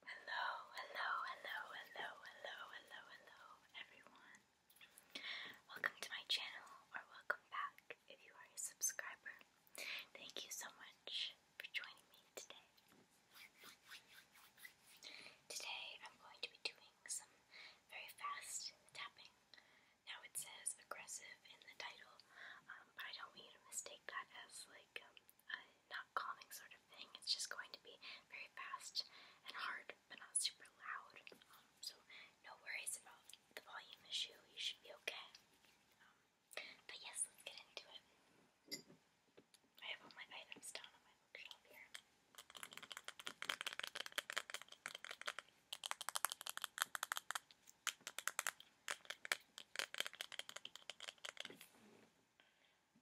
Hello, hello, hello, hello, hello, hello, hello, everyone. Welcome to my channel, or welcome back if you are a subscriber. Thank you so much for joining me today. Today I'm going to be doing some very fast tapping. Now it says aggressive in the title, um, but I don't want you to mistake that as like um, uh, not calming sort of thing. It's just going to be very fast and hard, but not super loud. Um, so no worries about the volume issue. You should be okay. Um, but yes, let's get into it. I have all my items down on my bookshelf here.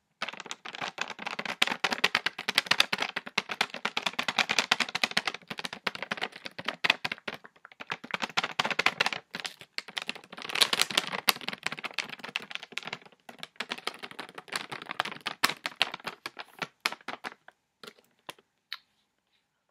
Oh gosh, that's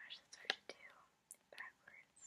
hard to do backwards.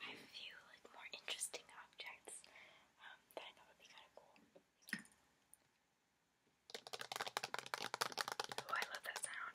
I have like more interesting objects um, that I thought would be kind of cool. Oh, I love that sound.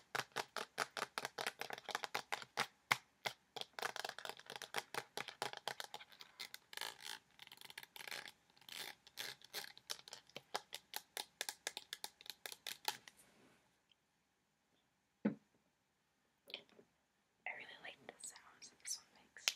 I really like the sounds that this one makes.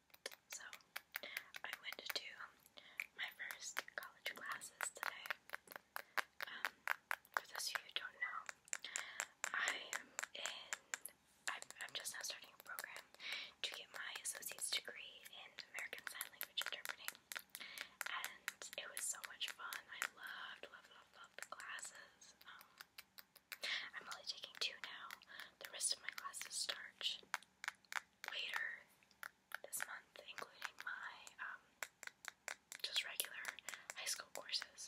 So I went to my first college classes today. Um, for those who don't know, I'm in. I'm, just now starting a program to get my associate's degree in American Sign Language Interpreting, and it was so much fun. I loved, loved, loved, loved the classes. Um, I'm only taking two now. The rest of my classes start later this month, including my um, just regular high school courses.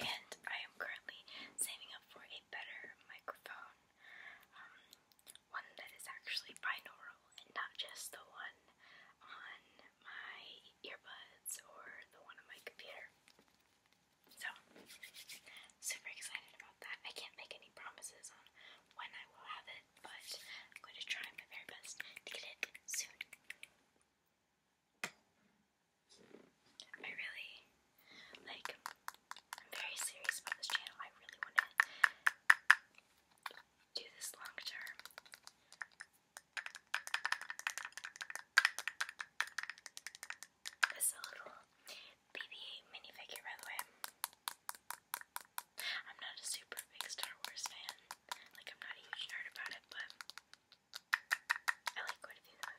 And I am currently saving up for a better microphone. Um, one that is actually binaural and not just the one on my earbuds or the one on my computer. So, super excited about that. I can't make any promises on when I will have it, but I'm going to try my very best to get it soon. I really, like, I'm very serious about this channel. I really want to do this long term. This little BB-8 minifigure, by the way. I'm not a super big Star Wars fan. Like, I'm not a nerd about it, but I like quite a the movies.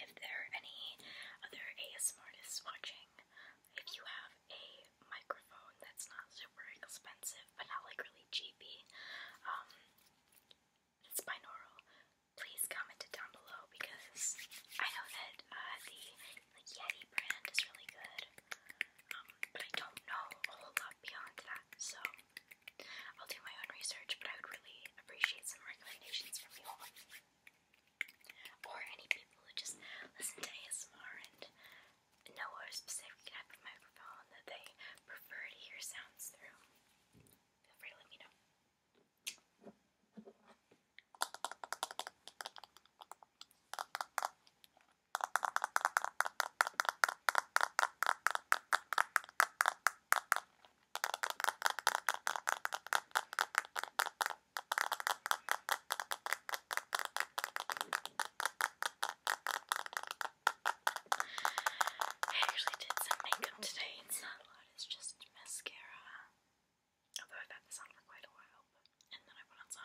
if there are any other ASM watching, if you have a microphone that's not super expensive but not like really cheapy, um, it's binaural, please comment it down below because I know that uh, the Yeti brand is really good, um, but I don't know a whole lot beyond that, so I'll do my own research, but I would really appreciate some recommendations from you all. Or any people who just listen to ASMR and know a specific type of microphone that they prefer to hear sounds through. Feel free to let me know. I actually did some makeup today. It's not a lot, it's just mascara. Although I've had this on for quite a while. And then I put on some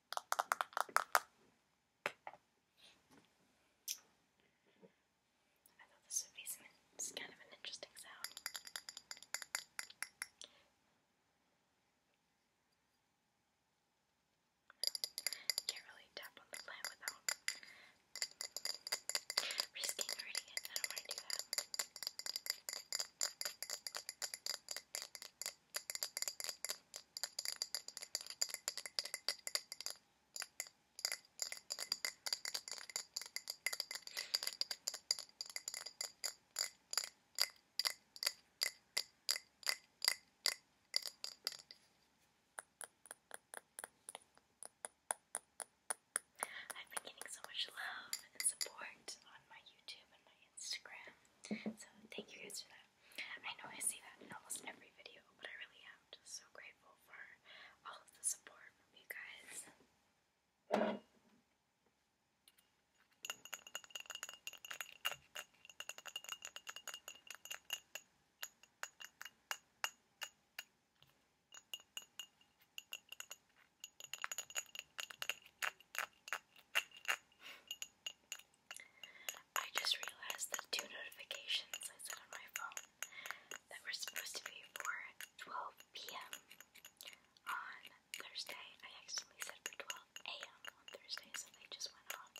I thought this would be kind of an interesting sound. Can't really tap on the plant without risking hurting it. I don't want to do that. I've been getting so much love and support on my YouTube and my so thank you guys for that. I know I say that in almost every video, but I really am just so grateful for all of the support from you guys. I just realized the two notifications I set on my phone that were supposed to be for 12 p.m. on Thursday, I accidentally said for 12 a.m. on Thursday, so they just went off.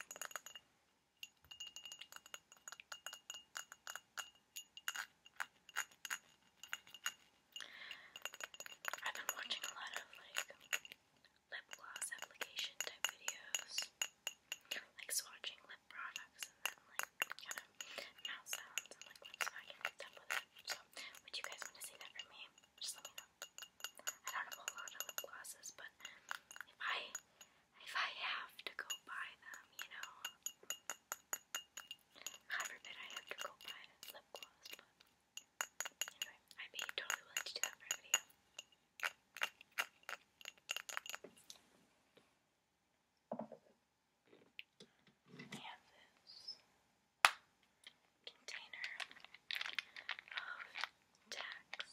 I've been watching a lot of like lip gloss application type videos, like swatching lip products and then like kind of mouth and like lip smacking stuff with it. So, would you guys want to see that for me? I don't have a lot of lip glosses, but if I if I have to go buy them, you know, God forbid I have to go buy lip gloss, Anyway, I'd totally willing to do that for a video. We have this container of tacks.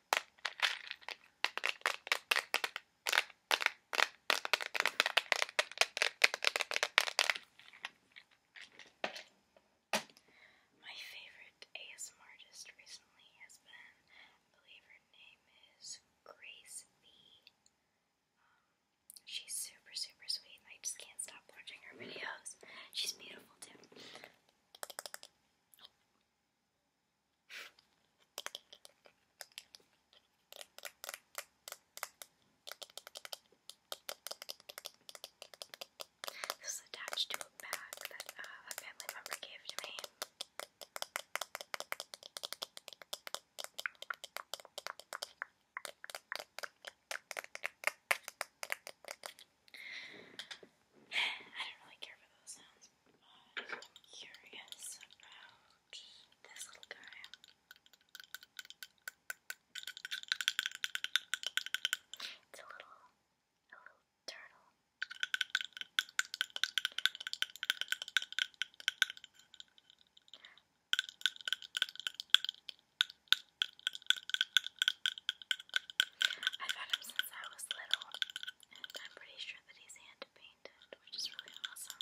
My favorite ASMR artist recently has been, I believe her name is Grace V. Um, she's super, super sweet. I just can't stop watching her videos. She's beautiful too. This is attached to a bag that uh, a family member gave to me. I don't really care for those sounds, but I'm curious about this little guy. It's a little, a little turtle. I've had him since I was little, and I'm pretty sure that he's hand painted, which is really awesome.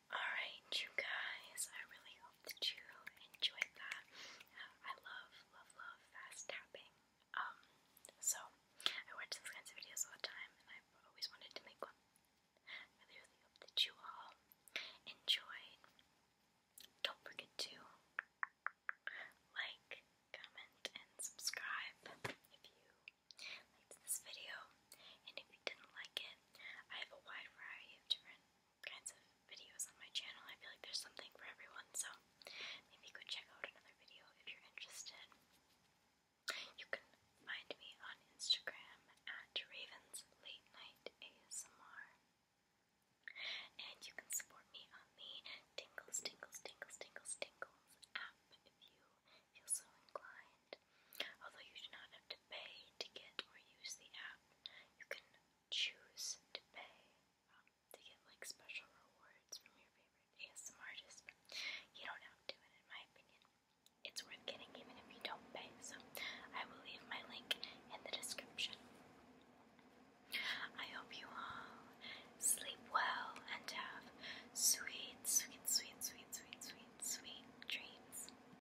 Alright, you guys, I really hope that you enjoyed that. Uh, I love, love, love fast tapping. Um, so I watch those kinds of videos all the time and I've always wanted to make one. really, really hope that you all enjoyed. Don't forget to like, comment, and subscribe if you liked this video. And if you didn't like it, I have a wide variety of different kinds of videos on my channel. I feel like there's something for everyone, so maybe go check out another video if you're interested. You can find me on Instagram at Ravens Late Night ASMR. And you can support me on the Tingles, Tingles, Tingles, Tingles, Tingles app if you feel so inclined. Although you do not have to pay to get or use the app, you can choose to pay um, to get like special rewards from your favorite ASM artist. You don't have to, and in my opinion, it's worth getting even if you don't pay. So I will leave my link in the description. I hope you all sleep well and have sweet, sweet, sweet, sweet, sweet, sweet, sweet dreams.